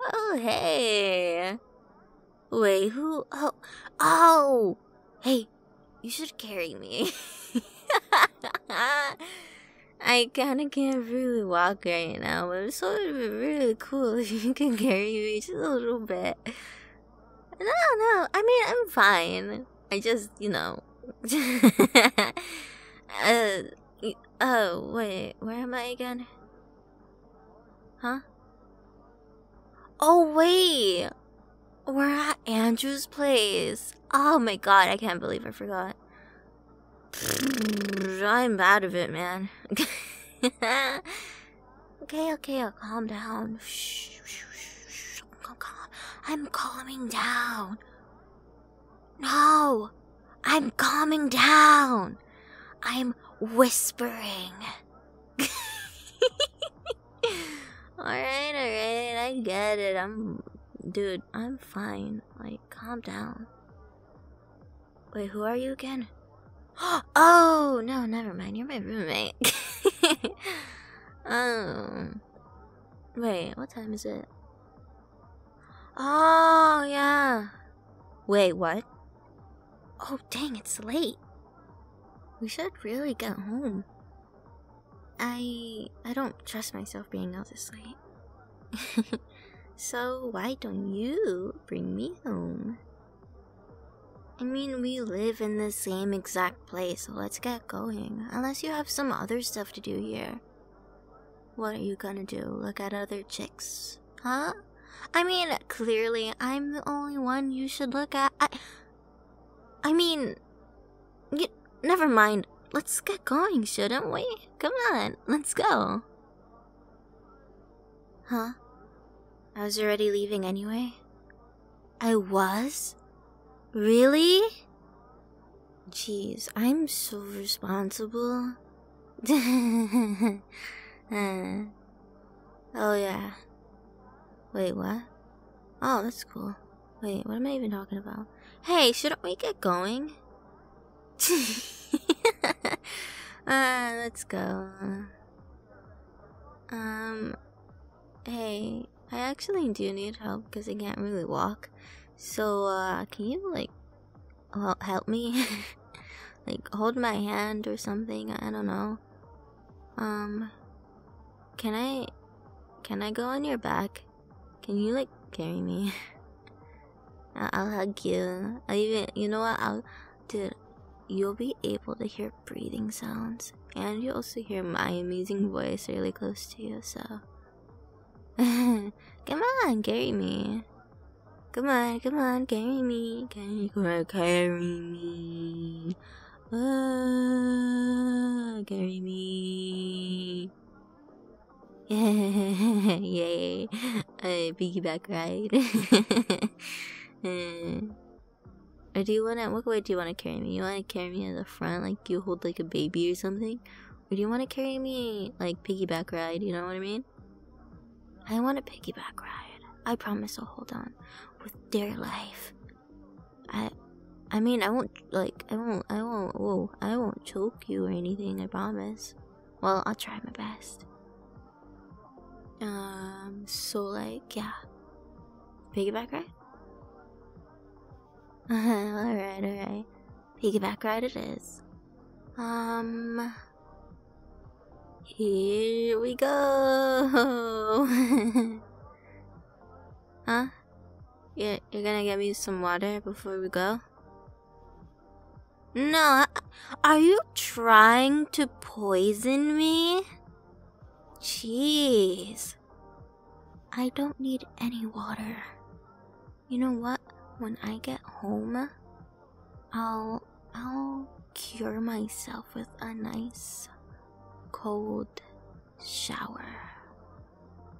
Oh, hey. Wait, who? Oh, oh. Hey, you should carry me. I kind of can't really walk right now, but it would be really cool if you can carry me just a little bit. No, no, I mean, I'm fine. I just, you know. Uh, Oh, wait, where am I again? Huh? Oh, wait! We're at Andrew's place. Oh my god, I can't believe I forgot. I'm out of it, man. okay, okay, I calm down. I'm calming down. No, I'm calming down. I'm whispering. alright, alright, I get it. I'm. Dude, I'm fine. Like, calm down. Wait, who are you again? Oh, no, never mind. You're my roommate. um. Wait, what time is it? Oh, yeah. Wait, what? Oh, dang, it's late. We should really get home. I I don't trust myself being out this late. so why don't you bring me home? I mean, we live in the same exact place, so let's get going. Unless you have some other stuff to do here. What are you gonna do? Look at other chicks? Huh? I mean, clearly, I'm the only one you should look at. I, mean, never mind. Let's get going, shouldn't we? Come on, let's go. Huh? I was already leaving anyway. I was? Really? Jeez, I'm so responsible. Uh, oh, yeah. Wait, what? Oh, that's cool. Wait, what am I even talking about? Hey, shouldn't we get going? Uh, let's go. Um, hey, I actually do need help because I can't really walk. So, uh, can you like well, help me? like hold my hand or something? I don't know. Um can I can I go on your back? Can you like carry me? I will hug you. I even you know what? I'll dude, you'll be able to hear breathing sounds and you also hear my amazing voice really close to you, so come on, carry me. Come on, come on, carry me. Carry, carry, carry me. Oh, carry me. Yay. A piggyback ride. Uh, or do you want to, what way do you want to carry me? You want to carry me in the front like you hold like a baby or something? Or do you want to carry me, like, piggyback ride? You know what I mean? I want a piggyback ride. I promise I'll hold on with dear life. I. I mean, I won't, like, I won't, I won't, whoa, I won't choke you or anything, I promise. Well, I'll try my best. Um, so, like, yeah. Piggyback ride? alright, alright. Piggyback ride it is. Um. Here we go! huh? You're, you're gonna get me some water before we go? No, are you trying to poison me? Jeez. I don't need any water. You know what? When I get home, I'll I'll cure myself with a nice cold shower.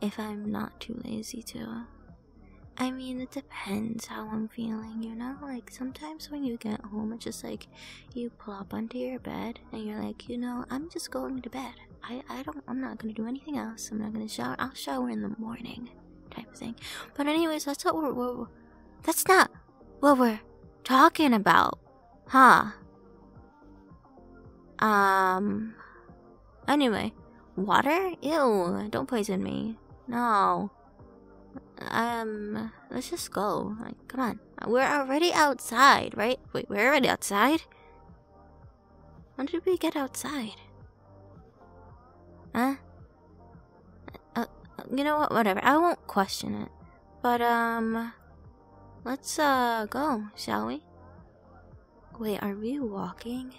If I'm not too lazy to. I mean, it depends how I'm feeling, you know? Like, sometimes when you get home, it's just like you plop onto your bed and you're like, you know, I'm just going to bed. I I don't I'm not gonna do anything else. I'm not gonna shower. I'll shower in the morning, type of thing. But anyways, that's not what we're, we're that's not what we're talking about, huh? Um. Anyway, water? Ew! Don't poison me. No. Um. Let's just go. Like, come on. We're already outside, right? Wait, we're already outside. When did we get outside? Huh? Uh, uh, you know what? Whatever. I won't question it. But, um. Let's, uh, go, shall we? Wait, are we walking?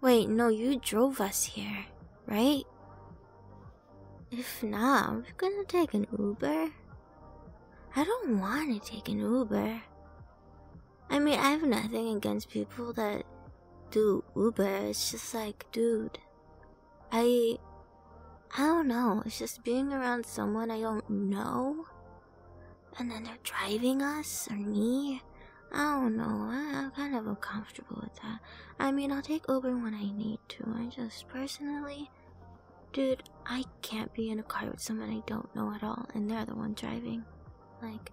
Wait, no, you drove us here, right? If not, we're gonna take an Uber. I don't want to take an Uber. I mean, I have nothing against people that do Uber. It's just like, dude, I. I don't know. It's just being around someone I don't know. And then they're driving us or me. I don't know. I, am kind of uncomfortable with that. I mean, I'll take Uber when I need to. I just personally, dude, I can't be in a car with someone I don't know at all, and they're the one driving. Like,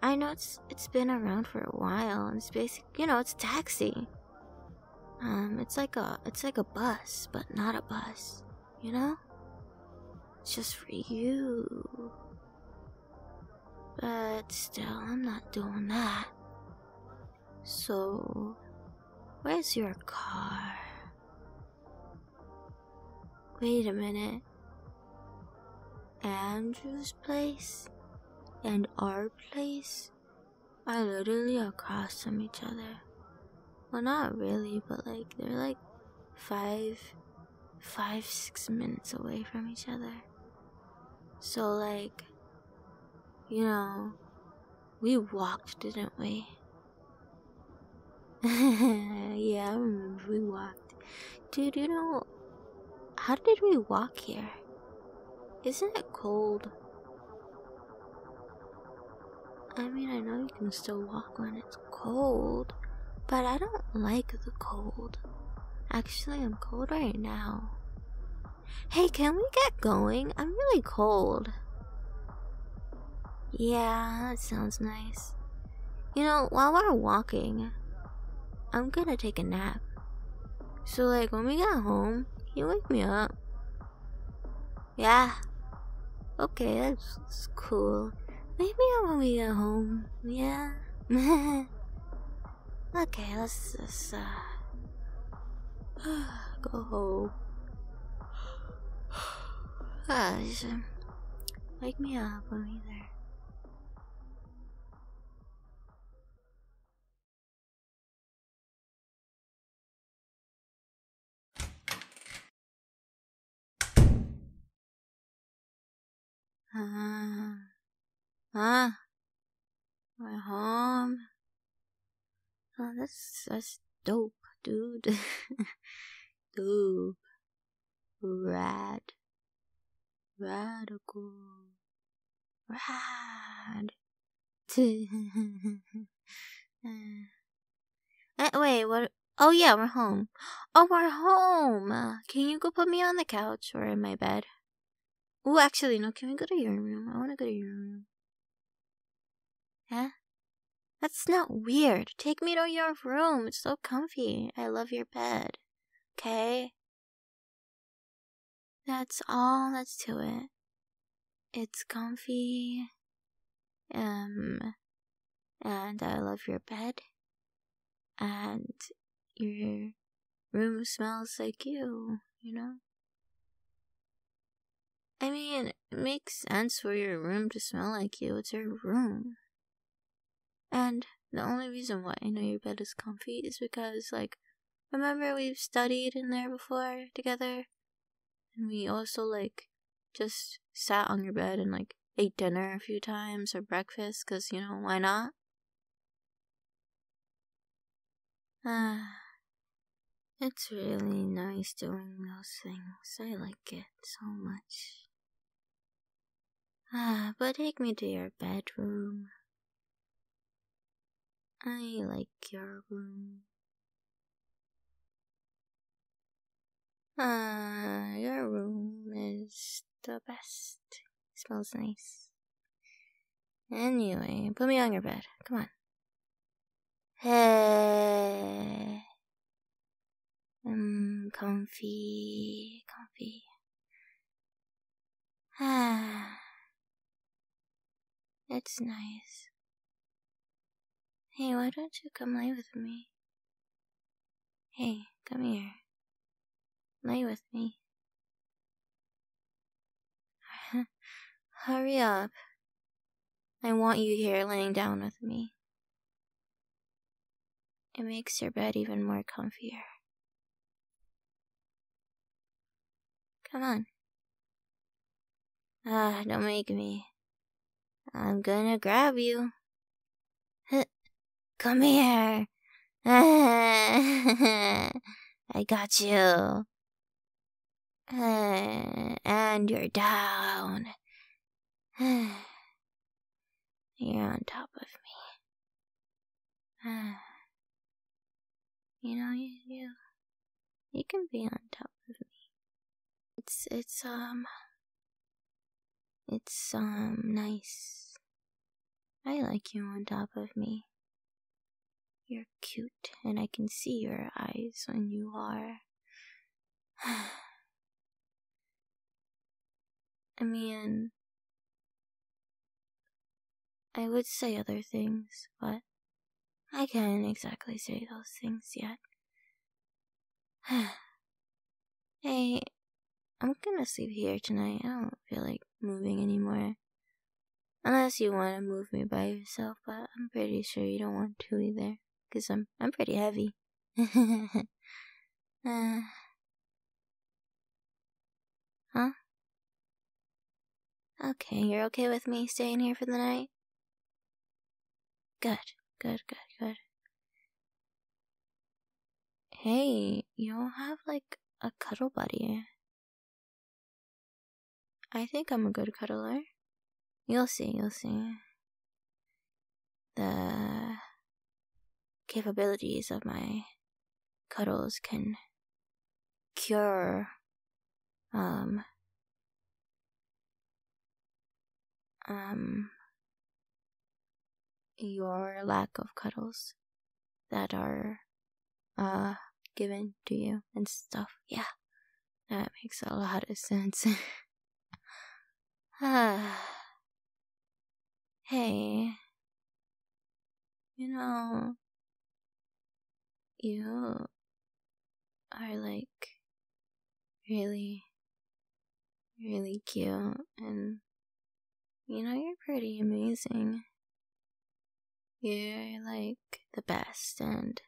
I know it's it's been around for a while, and it's basic. You know, it's a taxi. Um, it's like a it's like a bus, but not a bus. You know, it's just for you. But still, I'm not doing that. So, where's your car? Wait a minute. Andrew's place and our place are literally across from each other. Well, not really, but like they're like five, five, six minutes away from each other. So, like, you know, we walked, didn't we? yeah, I remember we walked. Dude, you know, how did we walk here? Isn't it cold? I mean, I know you can still walk when it's cold, but I don't like the cold. Actually, I'm cold right now. Hey, can we get going? I'm really cold. Yeah, that sounds nice. You know, while we're walking, I'm gonna take a nap. So, like, when we got home, you wake me up. Yeah. Okay, that's, cool. Maybe when we get home. Yeah. okay, let's just uh, go home. Gosh. Ah, Wake me up when we're there. Ah, uh-huh. ah, uh, we home. Oh, that's that's dope, dude. dope. Rad. Radical. Rad. uh, wait, what? Oh, yeah, we're home. Oh, we're home. Can you go put me on the couch or in my bed? Oh, actually, no. Can we go to your room? I want to go to your room. Huh? That's not weird. Take me to your room. It's so comfy. I love your bed. Okay? That's all that's to it. It's comfy. Um, and I love your bed. And your room smells like you, you know? I mean, it makes sense for your room to smell like you. It's your room. And the only reason why I know your bed is comfy is because, like, remember we've studied in there before together? And we also, like, just sat on your bed and, like, ate dinner a few times or breakfast, because, you know, why not? Ah, it's really nice doing those things. I like it so much. Ah, but take me to your bedroom. I like your room. Ah, your room is the best. smells nice. Anyway, put me on your bed. Come on. Mm, comfy, comfy. Ah, it's nice. Hey, why don't you come lay with me? Hey, come here. Lay with me. Hurry up. I want you here laying down with me. It makes your bed even more comfier. Come on. Ah, don't make me. I'm gonna grab you. Come here. I got you. And you're down. You're on top of me. Ah. you know you you you can be on top of me. It's it's um it's um nice. I like you on top of me. You're cute and I can see your eyes when you are I mean, I would say other things, but I can't exactly say those things yet. hey, I'm gonna sleep here tonight. I don't feel like moving anymore. Unless you want to move me by yourself, but I'm pretty sure you don't want to either because I'm, I'm pretty heavy. Uh, huh? Okay, you're okay with me staying here for the night? Good, good, good, good. Hey, you don't have like a cuddle buddy. I think I'm a good cuddler. You'll see, you'll see. The capabilities of my cuddles can cure um um your lack of cuddles that are uh given to you and stuff. Yeah. That makes a lot of sense. ah. Hey. You know, you are like really, really cute, and you know, you're pretty amazing. You're like the best, and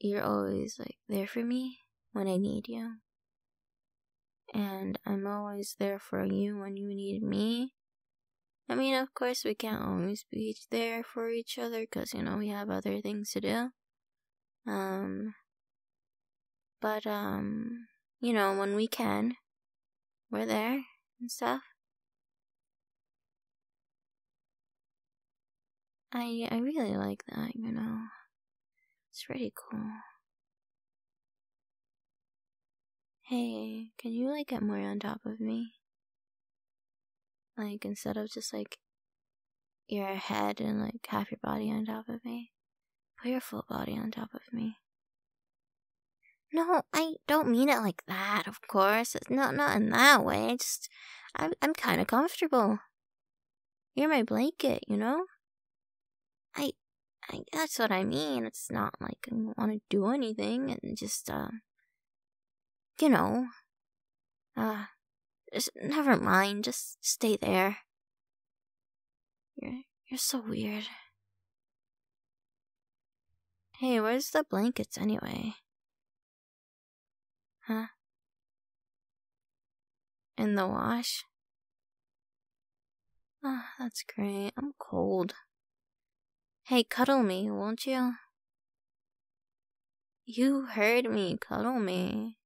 you're always like there for me when I need you. And I'm always there for you when you need me. I mean, of course, we can't always be there for each other because, you know, we have other things to do. Um, but, um, you know, when we can, we're there and stuff. I I really like that, you know. It's pretty cool. Hey, can you like get more on top of me? Like instead of just like your head and like half your body on top of me, put your full body on top of me. No, I don't mean it like that. Of course, it's not not in that way. I just I'm I'm kind of comfortable. You're my blanket, you know? I, I that's what I mean. It's not like I want to do anything and just, uh, you know, uh, just, never mind. Just stay there. You're, you're so weird. Hey, where's the blankets anyway? Huh? In the wash? Ah, that's great. I'm cold. Hey, cuddle me, won't you? You heard me, cuddle me.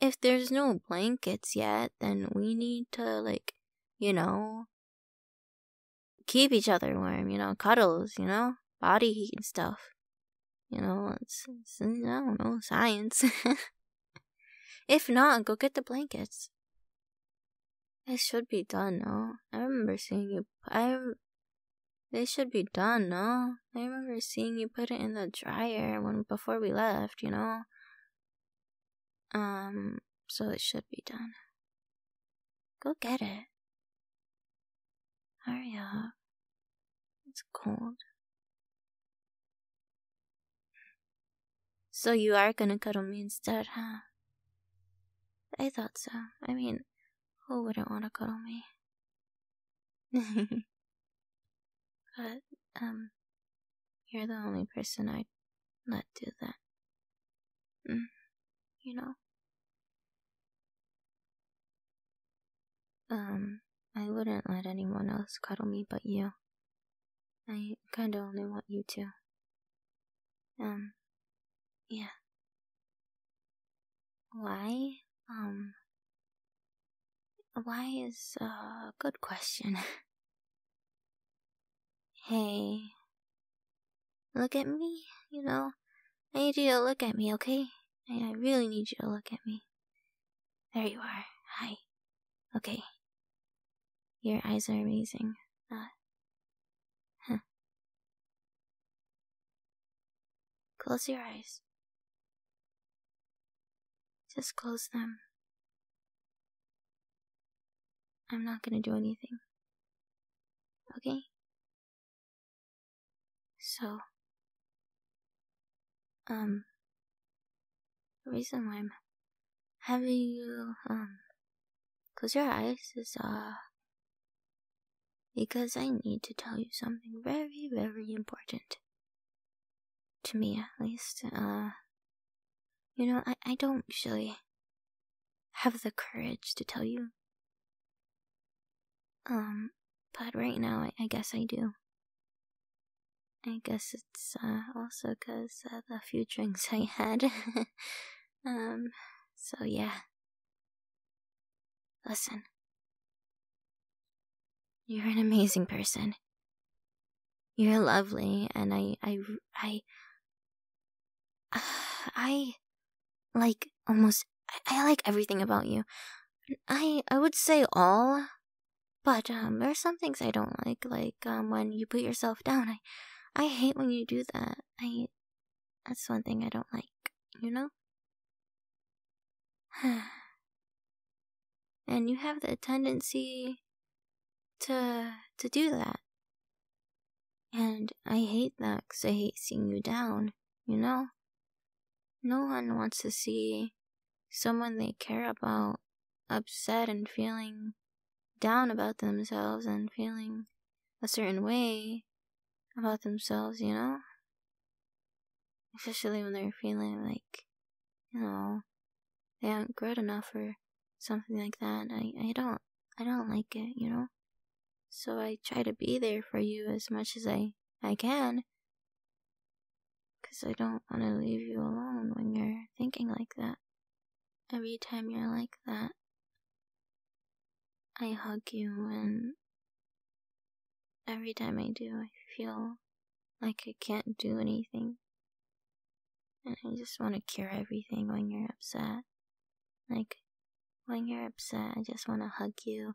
If there's no blankets yet, then we need to, like, you know, keep each other warm, you know, cuddles, you know, body heat and stuff. You know, it's, it's I don't know, science. if not, go get the blankets. It should be done, no? I remember seeing you. I. They should be done, no? I remember seeing you put it in the dryer when before we left, you know. Um. So it should be done. Go get it. Hurry up. It's cold. So you are gonna cuddle me instead, huh? I thought so. I mean, who wouldn't want to cuddle me? but, um, you're the only person I'd let do that. Mm, you know? Um, I wouldn't let anyone else cuddle me but you. I kinda only want you to. Um, yeah. Why? Um, why is a uh, good question. hey, look at me, you know? I need you to look at me, okay? I, really need you to look at me. There you are. Hi. Okay. Your eyes are amazing. Uh, huh. Close your eyes. Just close them. I'm not gonna do anything. Okay? So, um, the reason why I'm having you, um, close your eyes is, uh, because I need to tell you something very, very important. To me, at least. Uh, you know, I, I don't usually have the courage to tell you um, but right now, I, guess I do. I guess it's uh, also because uh, the few drinks I had. um, so yeah. Listen. You're an amazing person. You're lovely, and I, I, I, I, like almost, I like everything about you. I I would say all, but um, there are some things I don't like, like um, when you put yourself down. I I hate when you do that. I that's one thing I don't like. You know. and you have the tendency to to do that. And I hate that because I hate seeing you down, you know? No one wants to see someone they care about upset and feeling down about themselves and feeling a certain way about themselves, you know? Especially when they're feeling like, you know, they aren't good enough or something like that. I, I don't I don't like it, you know? So I try to be there for you as much as I, I can because I don't want to leave you alone when you're thinking like that. Every time you're like that, I hug you, and every time I do, I feel like I can't do anything. And I just want to cure everything when you're upset. Like, when you're upset, I just want to hug you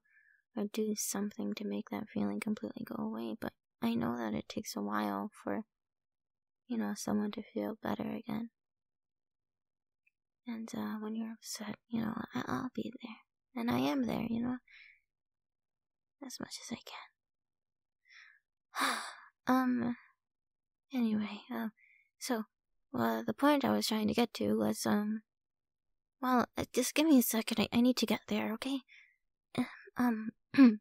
or do something to make that feeling completely go away, but I know that it takes a while for, you know, someone to feel better again. And uh, when you're upset, you know, I- will be there. And I am there, you know, as much as I can. um, anyway, um, so, well, uh, the point I was trying to get to was, um, well, uh, just give me a second. I, need to get there, okay? Uh, um.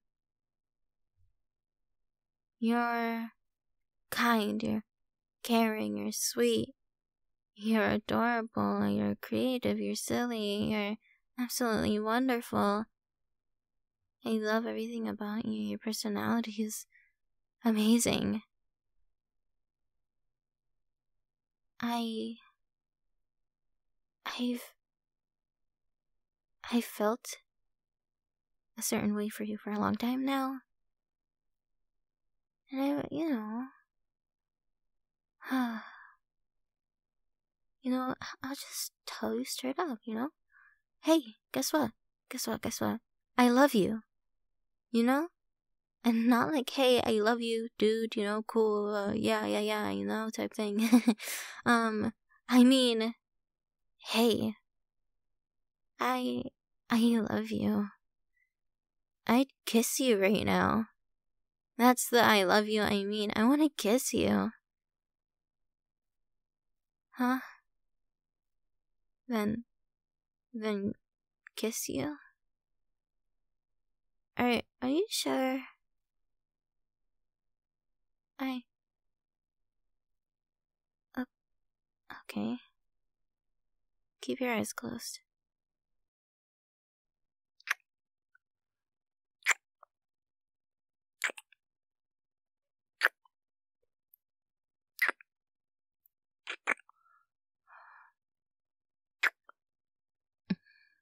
you're kind, you're caring, you're sweet, you're adorable, you're creative, you're silly, you're absolutely wonderful. I love everything about you. Your personality is amazing. I I've. I've felt a certain way for you for a long time now. And I, you know. you know, I'll just tell you straight up, you know? Hey, guess what? Guess what? Guess what? I love you. You know? and not like hey i love you dude you know cool uh, yeah yeah yeah you know type thing um i mean hey i i love you i'd kiss you right now that's the i love you i mean i want to kiss you huh then then kiss you all right. are you sure? I Okay. Keep your eyes closed.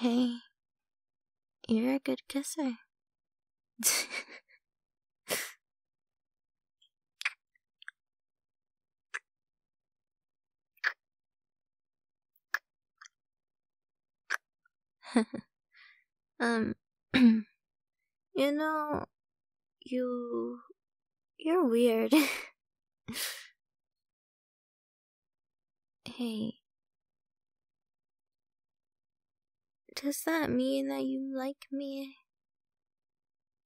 Hey, you're a good kisser. um You know, you. You're weird. hey. Does that mean that you like me?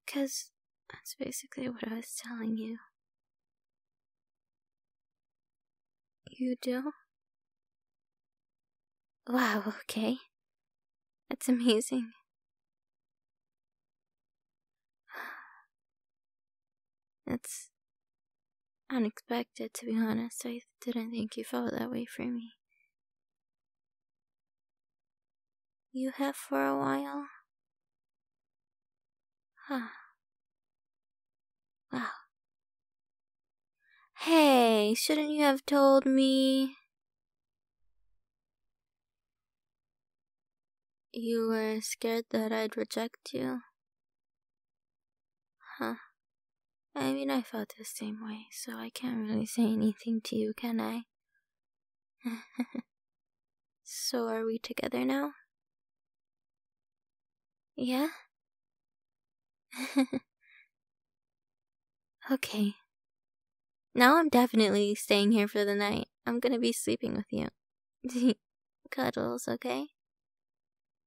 Because that's basically what I was telling you. You do? Wow, okay. That's amazing. It's unexpected, to be honest. I didn't think you felt that way for me. You have for a while? Huh. Wow. Hey, shouldn't you have told me? You were scared that I'd reject you? Huh. I mean, I felt the same way, so I can't really say anything to you, can I? so, are we together now? Yeah? Okay. Now I'm definitely staying here for the night. I'm gonna be sleeping with you. Cuddles, okay?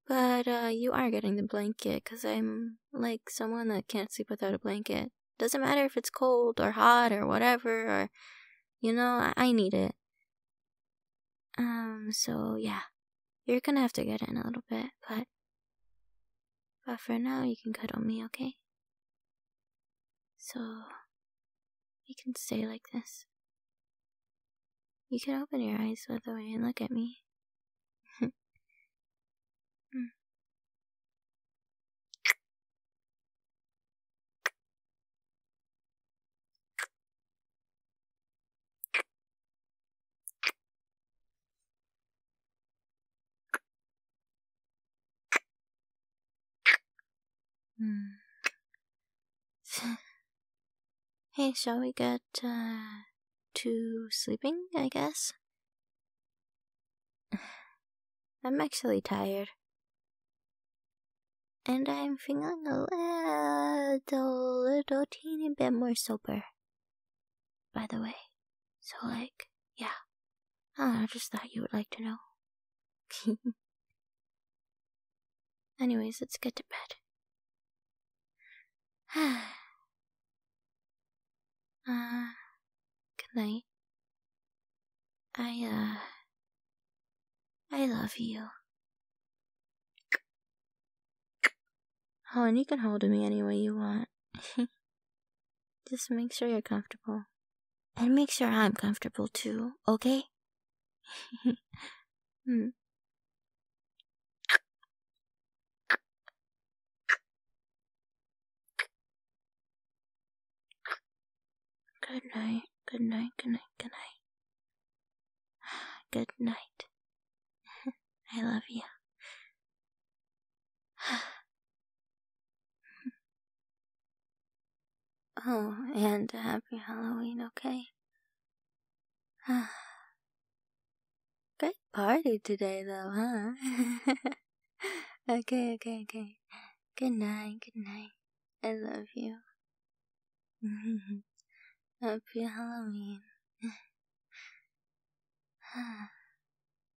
But uh, you are getting the blanket because I'm like someone that can't sleep without a blanket. Doesn't matter if it's cold or hot or whatever, or you know, I, I need it. Um, so yeah, you're gonna have to get in a little bit, but but for now, you can cuddle me, okay? So, we can stay like this. You can open your eyes, by the way, and look at me. Hmm. hey, shall we get uh, to sleeping, I guess? I'm actually tired. And I'm feeling a little, little teeny bit more sober. By the way, so like, yeah. I, just thought you would like to know. Anyways, let's get to bed. uh, good night. I, uh, I love you. Oh, and you can hold me any way you want. Just make sure you're comfortable. And make sure I'm comfortable too, okay? Hmm. Good night, good night, good night, good night. Good night. I love you. oh, and happy Halloween, okay? Great party today, though, huh? okay, okay, okay. Good night, good night. I love you. happy Halloween.